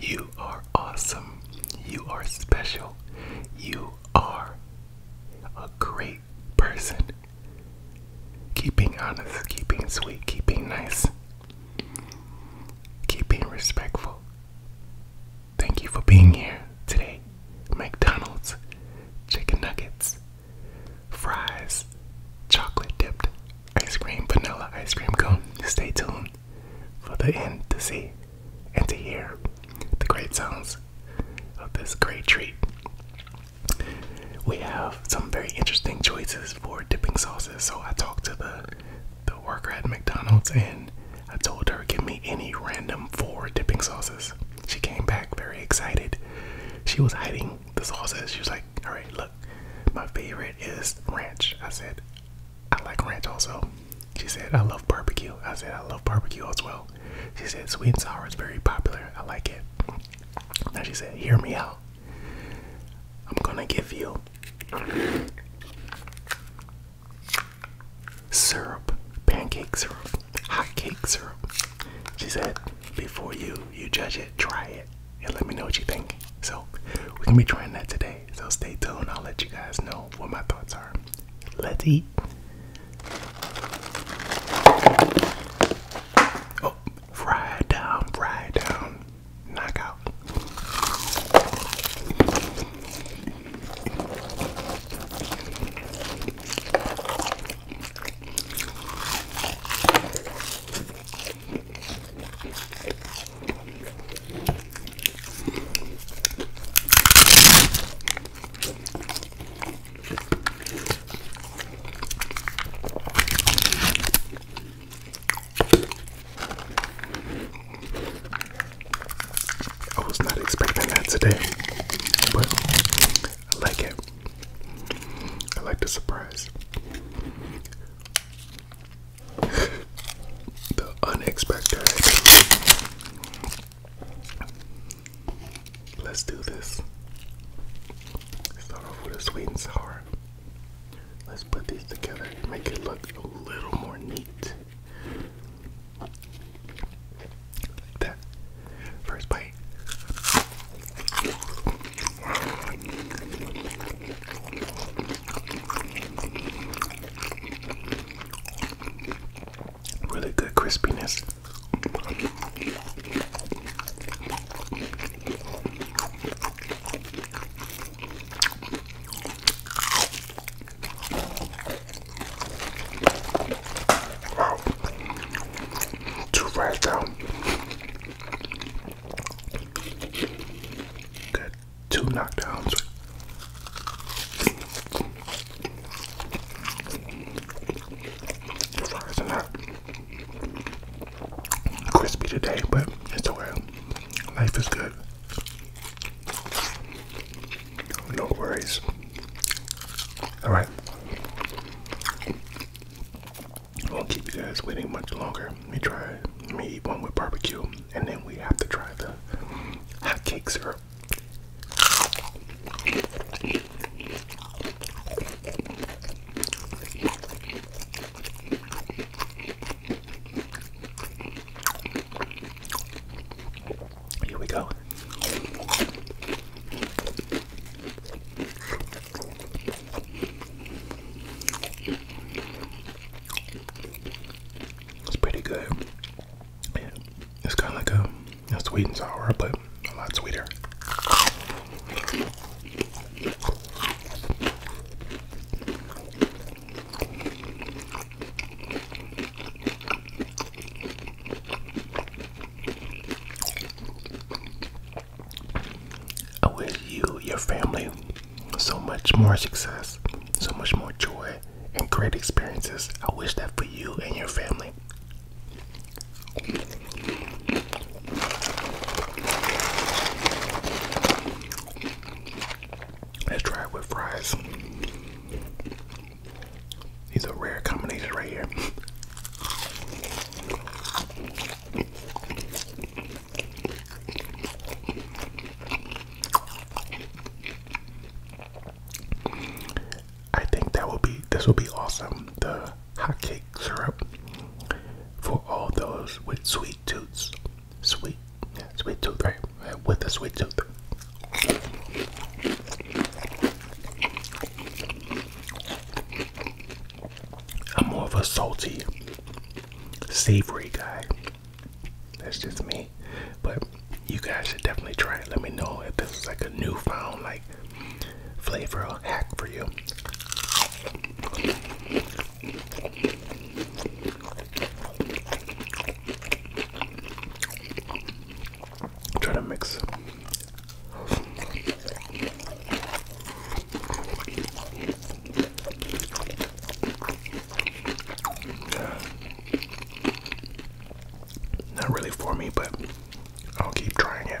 You are awesome. You are special. You are a great person. Keeping honest, keeping sweet, keeping nice, keeping respectful. Thank you for being here today. McDonald's, chicken nuggets, fries, chocolate dipped ice cream, vanilla ice cream cone. Stay tuned for the end to see and to hear the great sounds of this great treat. We have some very interesting choices for dipping sauces. So I talked to the the worker at McDonald's and I told her give me any random four dipping sauces. She came back very excited. She was hiding the sauces. She was like, Alright, look, my favorite is ranch. I said, I like ranch also. She said, I love barbecue. I said, I love barbecue as well. She said, sweet and sour is very popular. I like it. Now she said, hear me out. I'm gonna give you syrup, pancake syrup, hot cake syrup. She said, before you you judge it, try it and let me know what you think. So, we're gonna be trying that today. So, stay tuned. I'll let you guys know what my thoughts are. Let's eat. Oh, fry down, fry down, knockout. I was not expecting that today, but I like it. I like the surprise the unexpected. Let's do this. Start off with a sweet and sour. Let's put these together make it look a little more neat. Like that. First bite. Really good crispiness. Wow. Too far down. Good two knockdowns. crispy today, but it's okay. Life is good. No worries. All right. I won't keep you guys waiting much longer. Let me we Let me eat one with barbecue, and then we have to try the hot cake syrup. Here we go. It's pretty good. It's kind of like a, a sweet and sour, but a lot sweeter. I wish you, your family, so much more success, so much more joy, and great experiences. I wish that for you and your family. Let's try it with fries. These are rare combinations right here. I think that will be this will be awesome. The hot cake syrup for all those with sweet tooths. Sweet sweet tooth, right? With a sweet tooth. I'm more of a salty, savory guy. That's just me. But you guys should definitely try it. Let me know if this is like a newfound like flavor or hack for you. Try to mix. Not really for me, but I'll keep trying it.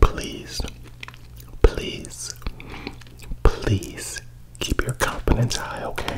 Please, please, please keep your confidence high, okay?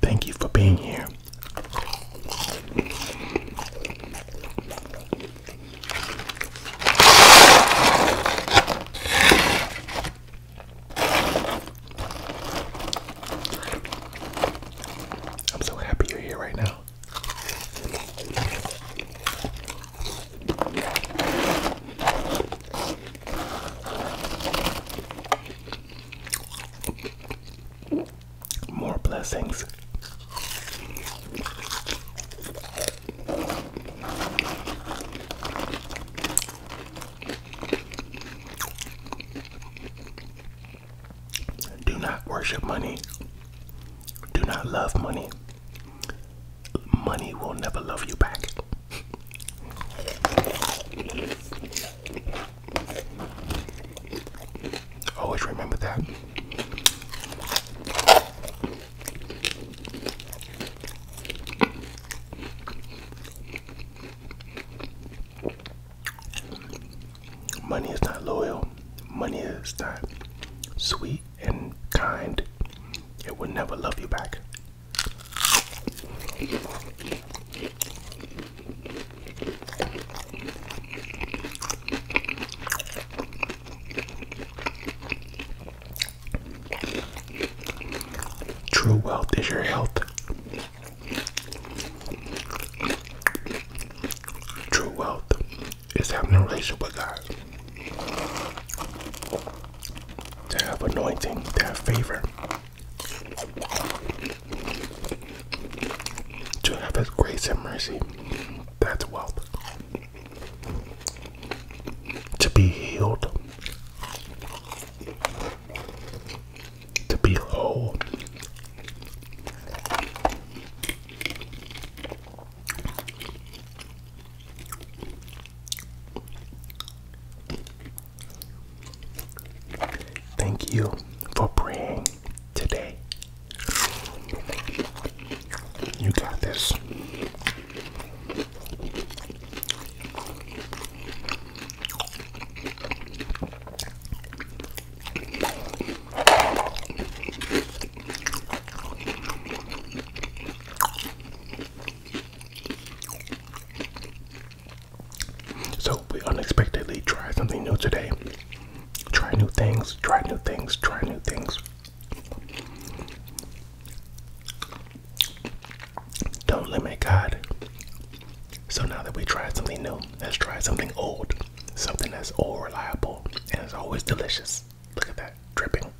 Thank you for being here. I'm so happy you're here right now. More blessings. Do not worship money. Do not love money. Money will never love you back. Always remember that. Money is not loyal. Money is not sweet and kind. It will never love you back. True wealth is your health. True wealth is having a relationship with God. To have anointing, to have favor, to have His grace and mercy. That's wealth. To be healed, to behold. Thank you for praying today. You got this. So we unexpectedly try something new today. Try new things, try new things, try new things. Don't limit God. So now that we tried something new, let's try something old. Something that's old, reliable and is always delicious. Look at that dripping.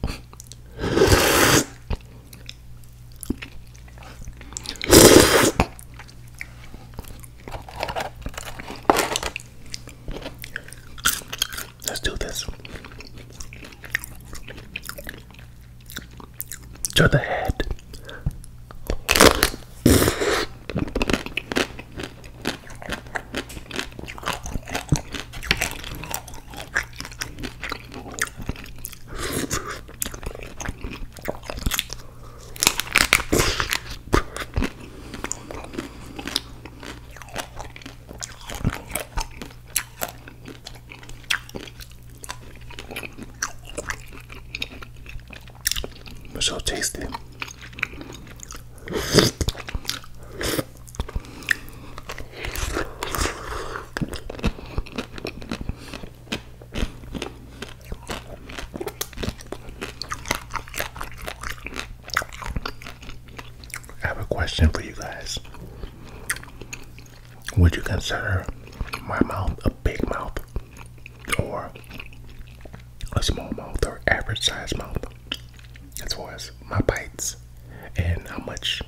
Let's do this to the head. So tasty. I have a question for you guys. Would you consider my mouth a big mouth? or a small mouth or average sized mouth as far as my bites and how much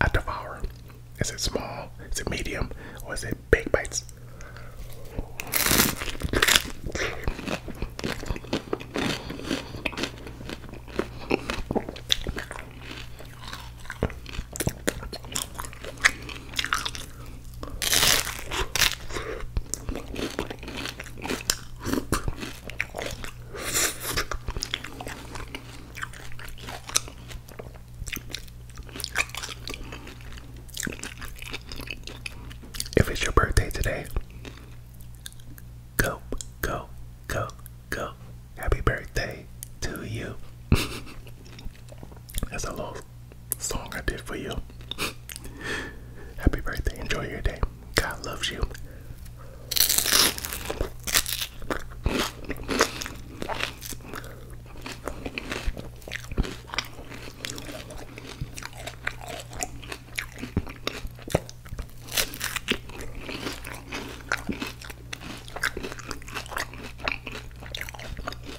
I devour. Is it small? Is it medium? Or is it big bites? If it's your birthday today, go, go, go, go. Happy birthday to you. That's a little song I did for you. Happy birthday. Enjoy your day. God loves you.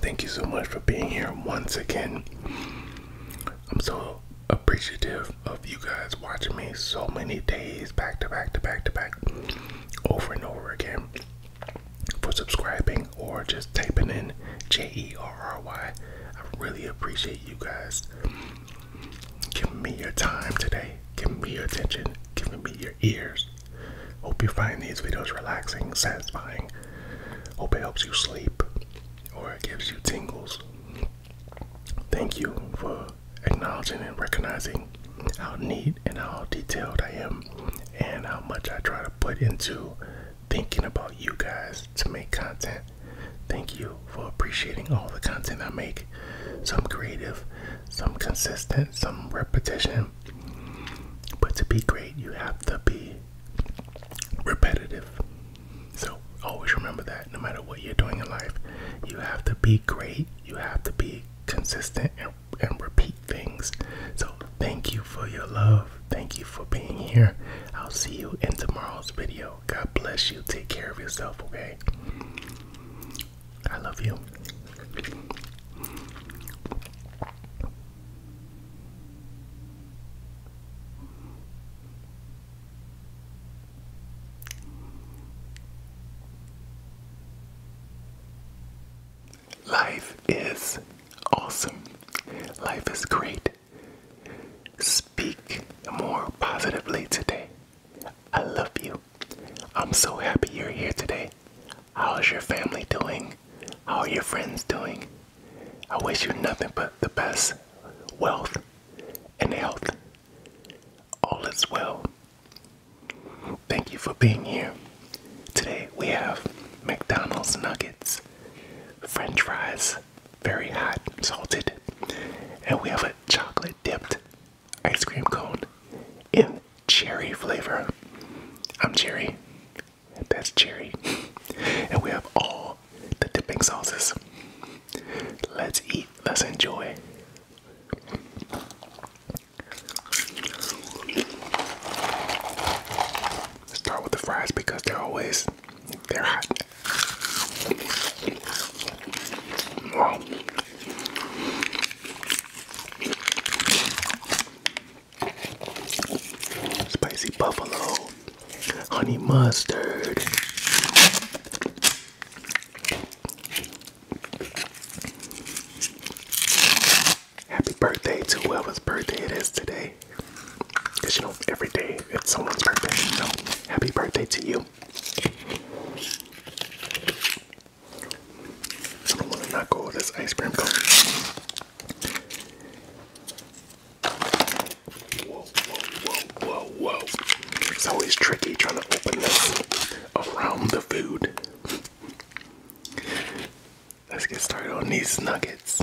Thank you so much for being here once again. I'm so appreciative of you guys watching me so many days back to back to back to back over and over again for subscribing or just typing in J E R R Y. I really appreciate you guys giving me your time today giving me your attention, giving me your ears. Hope you find these videos relaxing, satisfying. Hope it helps you sleep or it gives you tingles. Thank you for acknowledging and recognizing how neat and how detailed I am and how much I try to put into thinking about you guys to make content. Thank you for appreciating all the content I make some creative, some consistent, some repetition. But to be great, you have to be repetitive. So always remember that no matter what you're doing in life, you have to be great, you have to be consistent and repeat things. So thank you for your love. Thank you for being here. I'll see you in tomorrow's video. God bless you. Take care of yourself, okay? I love you. Life is awesome. Life is great. Speak more positively today. I love you. I'm so happy you're here today. How's your family doing? How are your friends doing? I wish you nothing but the best wealth and health. All is well. Thank you for being here. Today we have McDonald's nuggets, french fries, very hot, salted, and we have a chocolate dipped ice cream cone in cherry flavor. I'm cherry. That's cherry. and we have all the dipping sauces. Let's eat. Let's enjoy. start with the fries because they're always they're hot. Spicy buffalo, honey mustard. Happy birthday to whoever's birthday it is today. Because you know, every day it's someone's birthday. So, happy birthday to you. I don't want to knock go this ice cream cone. whoa, whoa, whoa, whoa. It's always tricky trying to open this around the food. Let's get started on these nuggets.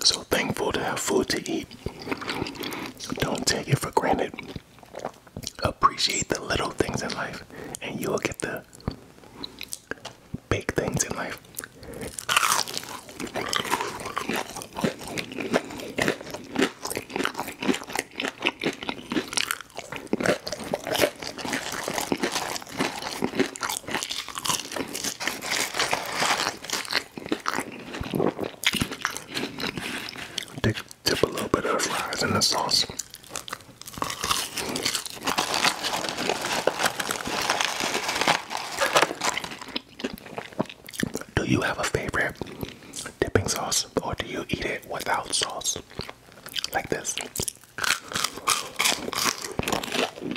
So thankful to have food to eat. Don't take it for granted. Appreciate the little things in life, and you'll get the big things in life. Dip, a little bit of fries in the sauce. Do you have a favorite dipping sauce or do you eat it without sauce? Like this.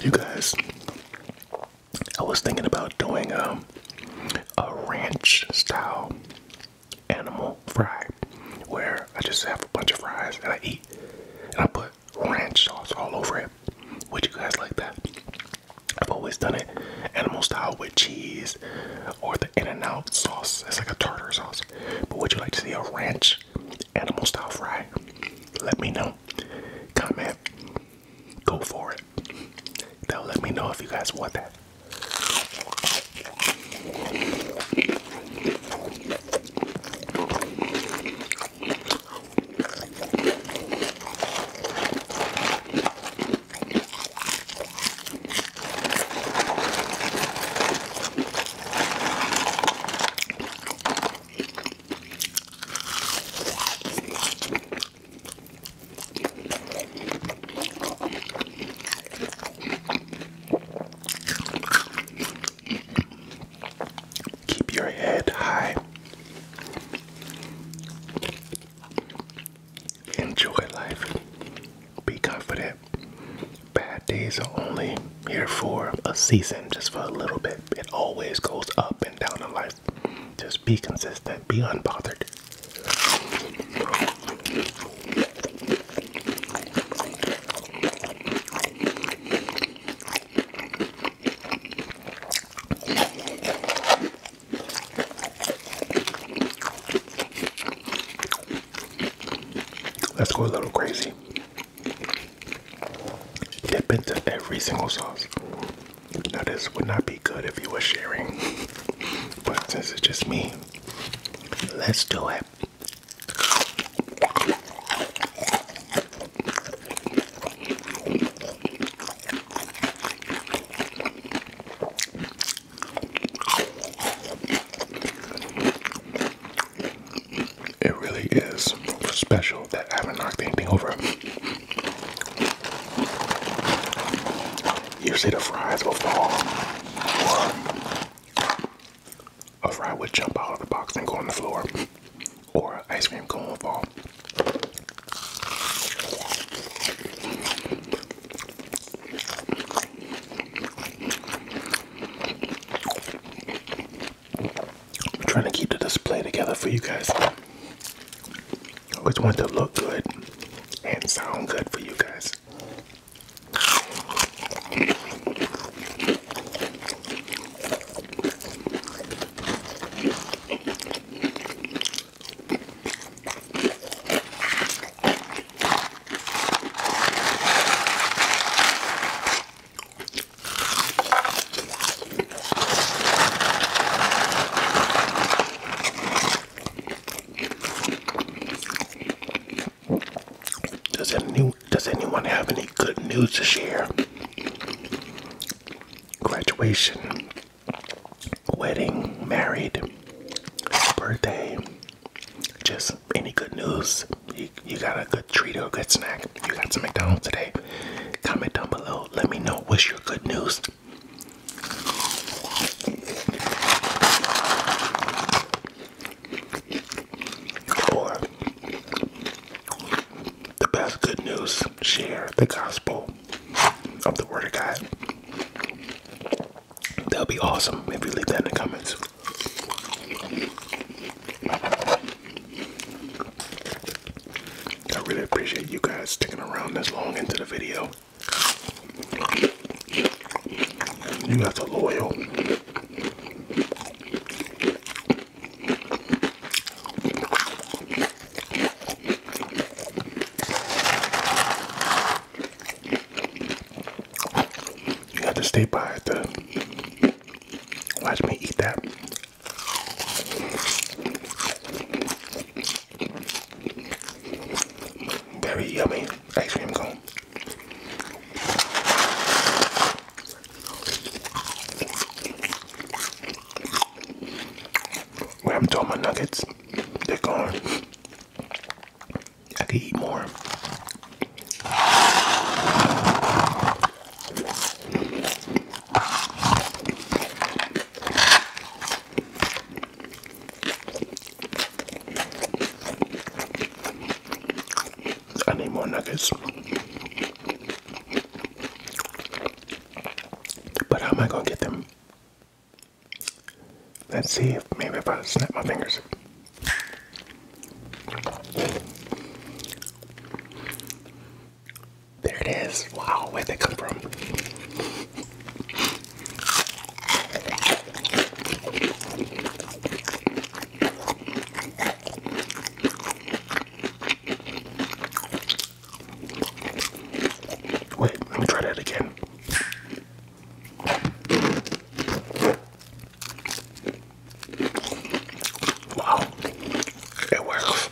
You guys, I was thinking about doing a, um, a ranch style animal fry where I just have a bunch of fries and I eat and I put ranch sauce all over it. Would you guys like that? I've always done it animal style with cheese or the in and out sauce. It's like a tartar sauce. But would you like to see a ranch animal style fry? Let me know. Comment. Go for it. They'll let me know if you guys want that. Keep your head high. Enjoy life. Be confident. Bad days are only here for a season, just for a little bit. It always goes up and down in life. Just be consistent, be unbothered. Let's go a little crazy. Dip into every single sauce. Now, this would not be good if you were sharing, but this is just me, let's do it. It really is special that I haven't knocked anything over. Usually the fries will fall. Or a fry would jump out of the box and go on the floor. Or ice cream cone will fall. I'm trying to keep the display together for you guys. I always want to look good and sound good for you guys. Does anyone have any good news to share? Graduation, wedding, married, birthday, just any good news? you, got a good treat or a good snack. You got some McDonald's today. Comment down below. Let me know what's your good news. Or the best good news, share the gospel of the Word of God. That'll be awesome if you leave that in the comments. I really appreciate you guys sticking around this long into the video. You guys are loyal. You have to stay by the Watch me eat that. Very yummy ice cream cone. When I'm my nuggets, they're gone. I could eat more. I need more nuggets. But how am I gonna get them? Let's see if maybe if I snap my fingers. There it is. Wow, where did they come from? Wait, let me try that again. Wow, it works.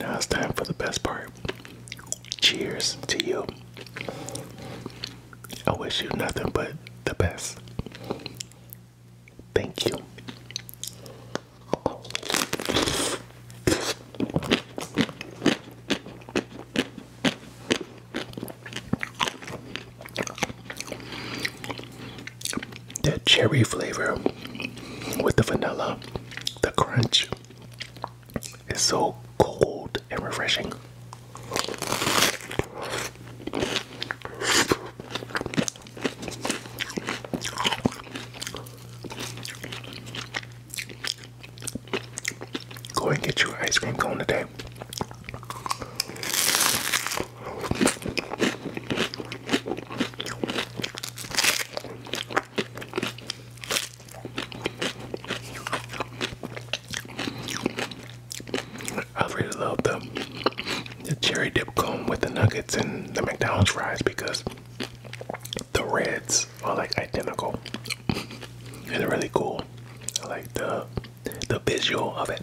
Now it's time for the best part. Cheers to you. I wish you nothing but the best. Thank you. That cherry flavor with the vanilla, the crunch is so cold and refreshing. Go and get your ice cream cone today. I really love the cherry dip cone with the nuggets and the McDonald's fries because the reds are like identical and they're really cool. I like the the visual of it.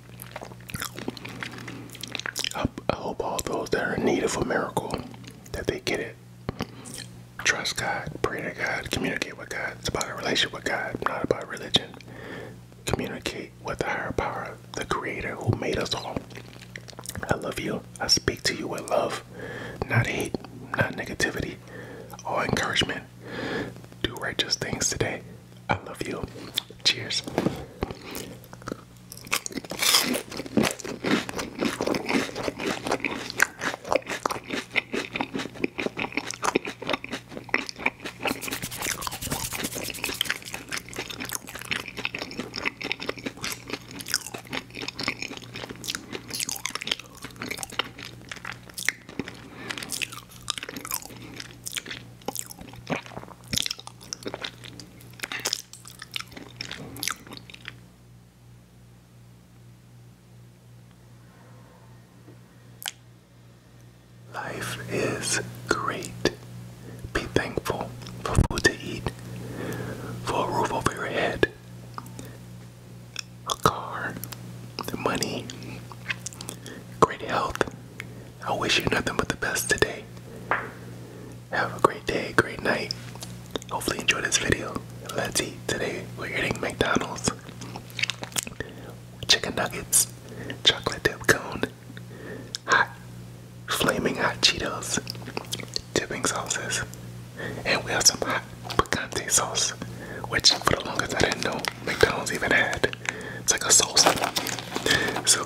I hope all those that are in need of a miracle that they get it. Trust God, pray to God, communicate with God. It's about a relationship with God, not about religion. Communicate with the higher power, the creator who made us all. I love you. I speak to you with love, not hate, not negativity, all encouragement. Do righteous things today. I love you. Cheers. Life is great. Be thankful for food to eat, for a roof over your head, a car, money, great health, I wish you nothing but the best today. Have a great day, great night. Hopefully, enjoy this video. Let's eat. Today, we're eating McDonald's chicken nuggets, chocolate dip cone, hot, flaming hot Cheetos, dipping sauces, and we have some hot picante sauce, which for the longest I didn't know McDonald's even had. It's like a salsa. So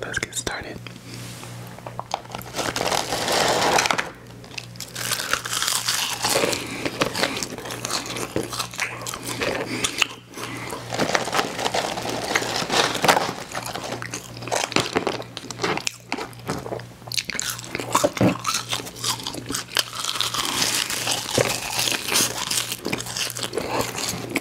let's get started. May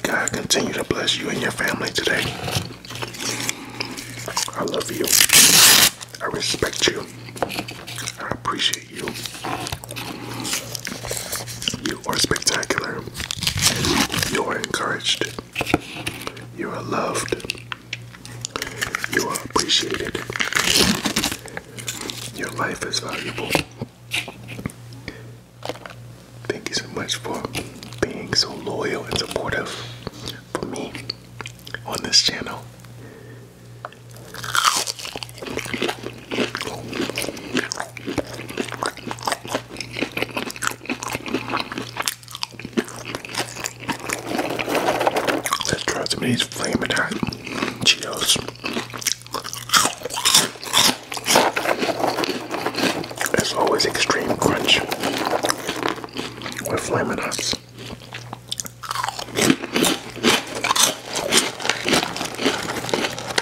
God continue to bless you and your family today. I love you. I respect you. I appreciate you you are spectacular. You are encouraged. You are loved. You are appreciated. Your life is valuable. Thank you so much for being so loyal and supportive for me on this channel. Let's try some of these flaming hot Cheetos. There's always extreme crunch with flaming hot.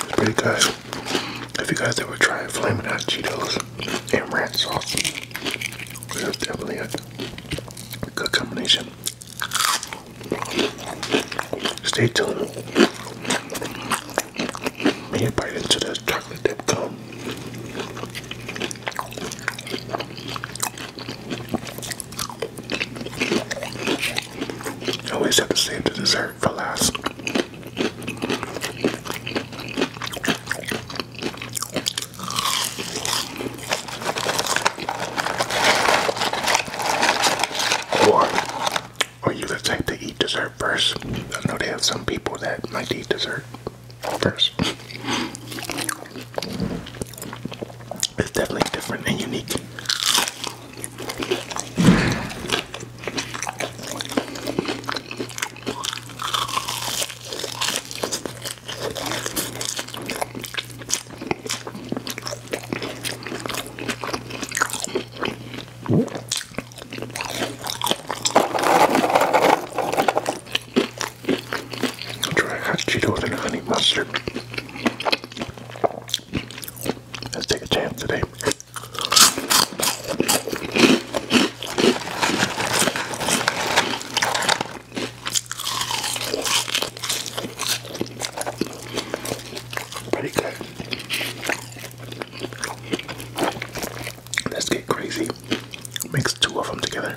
It's pretty if you guys ever try flaming Hot Cheetos and ranch sauce, it's definitely a good combination. Stay tuned. May I bite into this chocolate dip always have to save the dessert for last. Or, or you the type to eat dessert first. I know they have some people that might eat dessert first. It's definitely different and unique. Dry hot Cheetos and honey mustard. Let's take a chance today. Pretty good. Let's get crazy. Mix two of them together.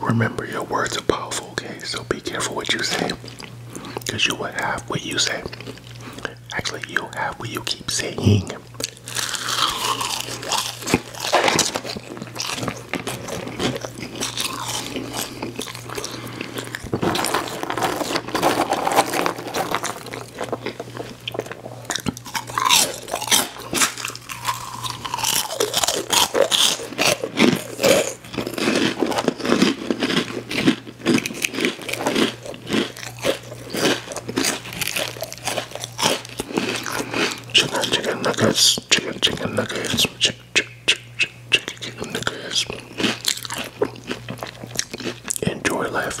Remember, your words are powerful, okay? So be careful what you say. Because you will have what you say. Actually, you'll have what you keep saying. Chicken, nuggets, chicken, nuggets, chicken, chicken nuggets. Enjoy life.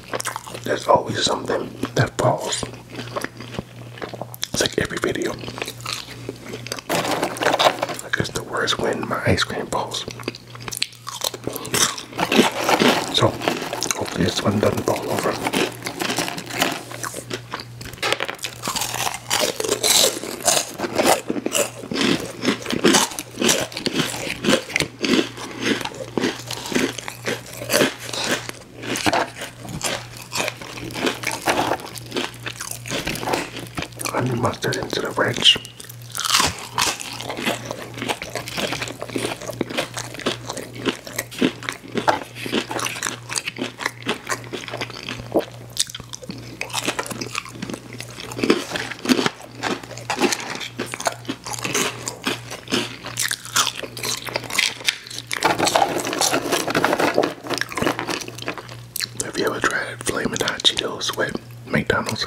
there's always something that falls. It's like every video. I guess the worst when my ice cream falls. So, hopefully this one doesn't fall over. And the mustard into the ranch. Have you ever tried Flamin' Hot Cheetos with McDonald's?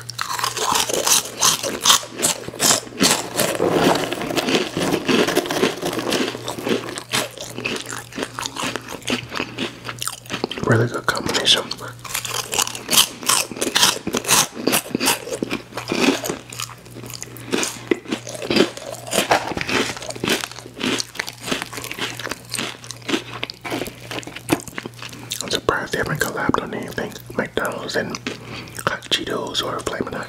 Really good combination. I'm surprised they haven't collabed on anything. McDonald's and Cheetos or Flamin' Hot.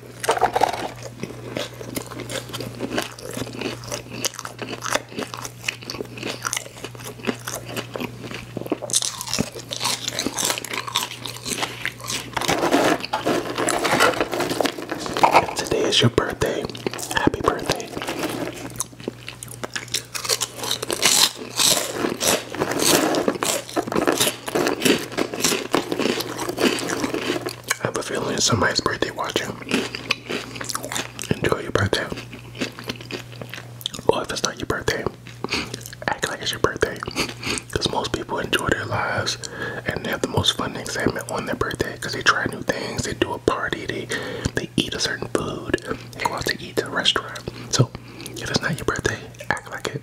Today is your birthday. Happy birthday. I have a feeling it's somebody's birthday watching. Enjoy your birthday. Or if it's not your birthday, act like it's your birthday. Because most people enjoy their lives and they have the most fun excitement on their birthday because they try new things, they do a party, they, they eat a certain food, they go out to eat at a restaurant. So if it's not your birthday, act like it.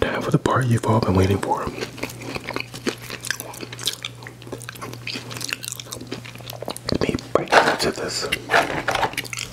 Time for the part you've all been waiting for. Let me bite into this.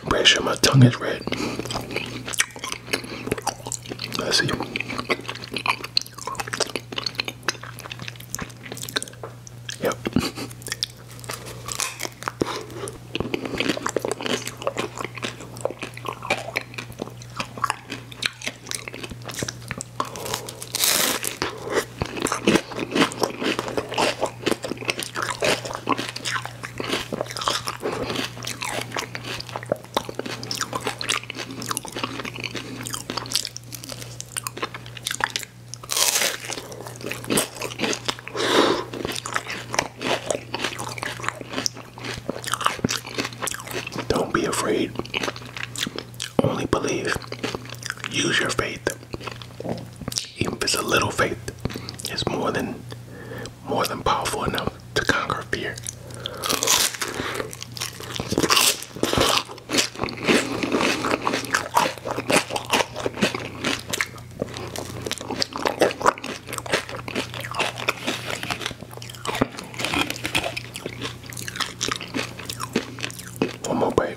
I'm pretty sure my tongue is red. Let's see. Yep. Don't be afraid. Only believe. Use your faith. Even if it's a little faith, it's more than more than powerful enough to conquer fear. One more bite.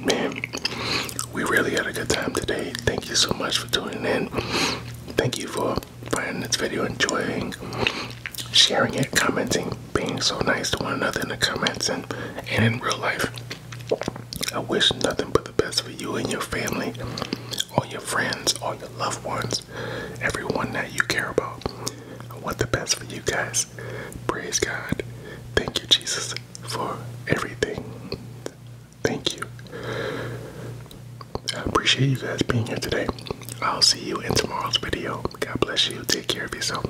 Man, we really had a good time today. Thank you so much for tuning in. Thank you for finding this video enjoying, sharing it, commenting, being so nice to one another in the comments and, in real life. I wish nothing but the best for you and your family, all your friends, all your loved ones, everyone that you care about. I want the best for you guys. Praise God. Thank you, Jesus, for everything. Thank you. I appreciate you guys being here today. I'll see you in tomorrow's video. God bless you. Take care of yourself.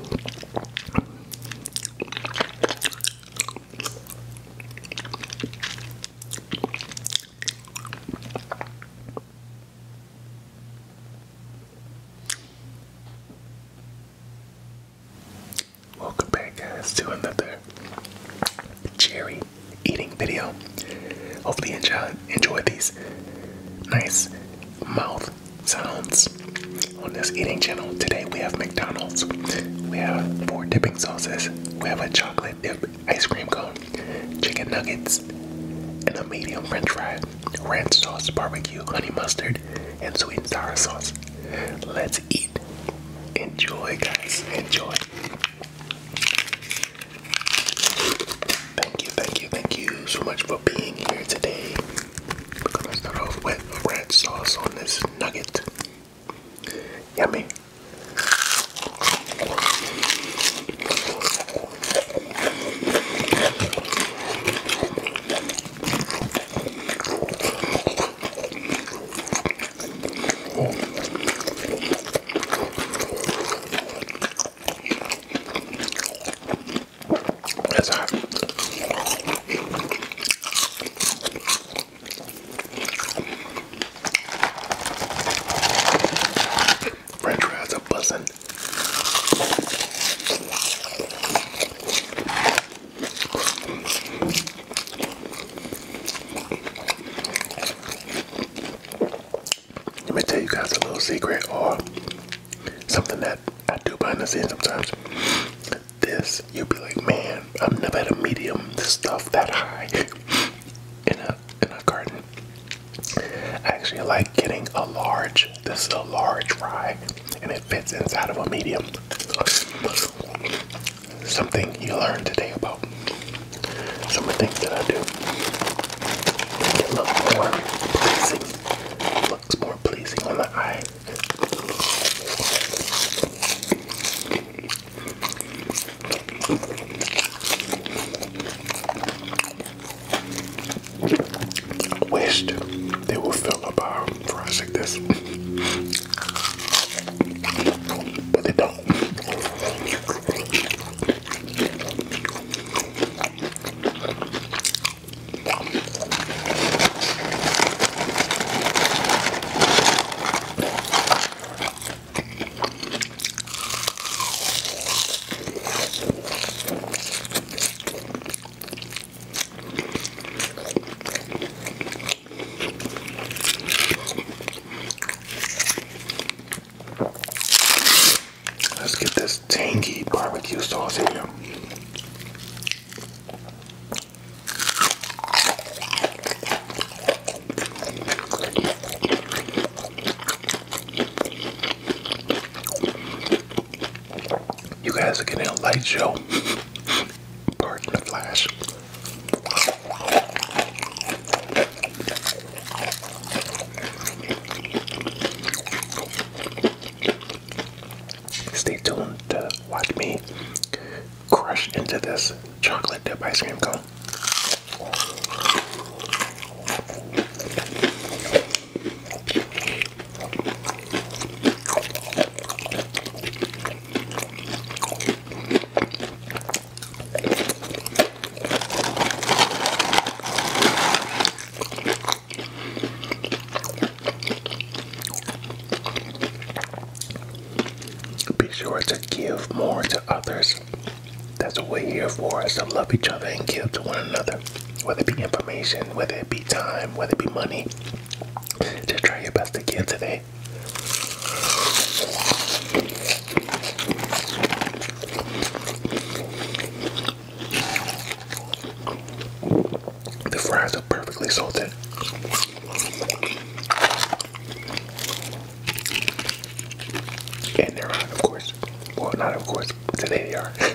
Welcome back, guys, to another cherry eating video. Hopefully, you enjoy, enjoy these nice mouth sounds on this eating channel. Today, we have McDonald's, we have four dipping sauces, we have a chocolate dip ice cream cone, chicken nuggets, and a medium french fry ranch sauce, barbecue, honey mustard, and sweet and sour sauce. Let's eat. Enjoy, guys. Enjoy. Thank you, thank you, thank you so much for being here today. We're gonna start off with ranch sauce on this nugget. Yummy. That's hot. French fries are buzzing. Let me tell you guys a little secret or something that I do behind the scenes sometimes. This, you'll be like, man, I've never had a medium this stuff that high in a in a garden. I actually like getting a large. This is a large fry, and it fits inside of a medium. Something you learned today about some of the things that I do. looks more pleasing on the eye wished they would fill up our fries like this, but they don't. Let's get this tangy barbecue sauce here. You guys are getting a light show. Pardon the flash. Stay tuned to watch me crush into this chocolate dip ice cream cone. Be sure to give more to others. That's what we're here for, is to love each other and give to one another whether it be information, whether it be time, whether it be money. Just try your best again today. The fries are perfectly salted. And they're on, of course. Well, not of course, today they are.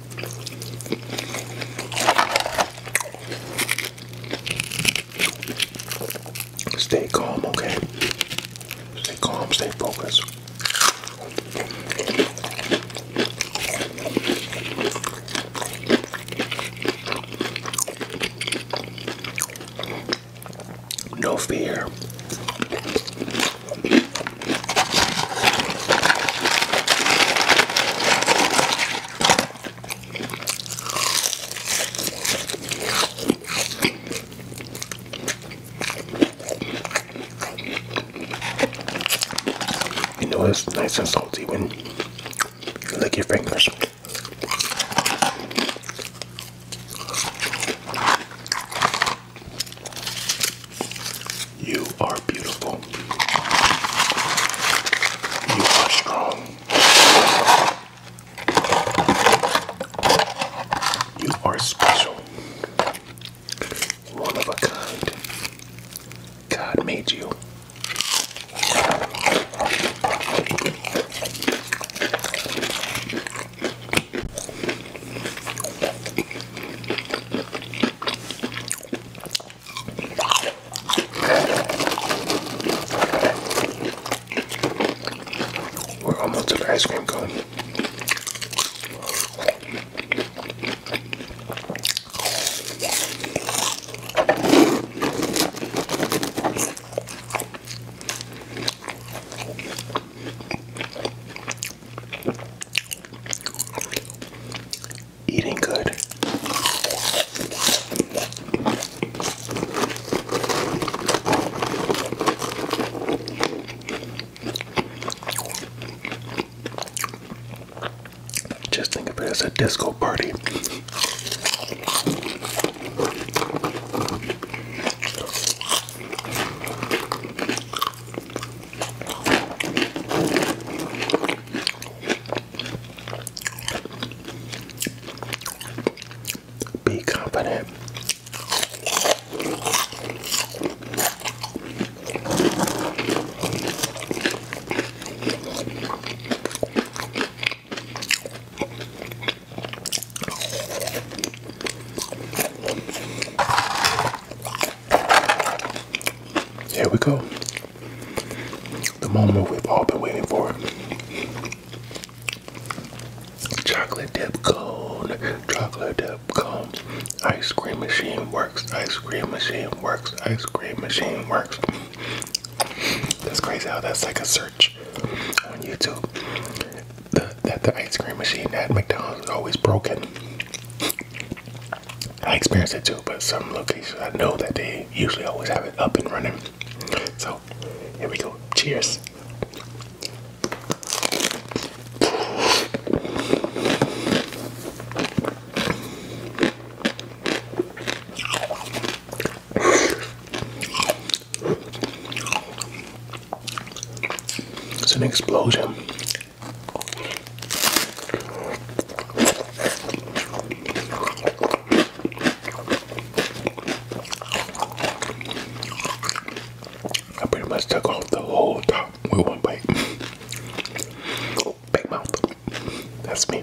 Stay calm, okay? Stay calm, stay focused. No fear. You know it's nice and salty when you lick your fingers. You are beautiful. You are strong. You are special. One of a kind. God made you. We're almost to the ice cream cone. Eating good. Just think of it as a disco party. Be confident. Here we go. The moment we've all been waiting for. Chocolate dip cone, chocolate dip cones. Ice cream machine works, ice cream machine works, ice cream machine works. That's crazy how that's like a search on YouTube. that the ice cream machine at McDonald's is always broken. I experienced it too, but some locations I know that they usually always have it up and running. So here we go. Cheers. It's an explosion. I pretty much took off the whole top with one bite. Big mouth. That's me.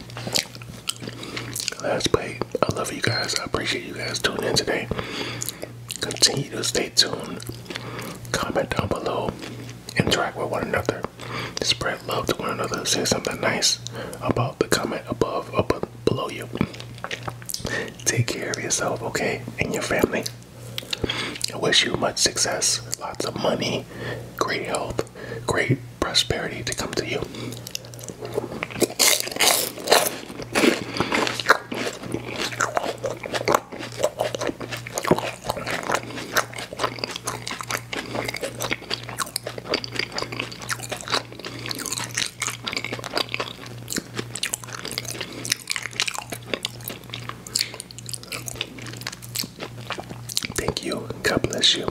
Last plate. I love you guys. I appreciate you guys tuning in today. Continue to stay tuned. Comment down below. Interact with one another. Spread love to one another. Say something nice about the comment above, up below you. Take care of yourself, okay, and your family. I wish you much success, lots of money, great health, great prosperity to come to you. Thank you. God bless you.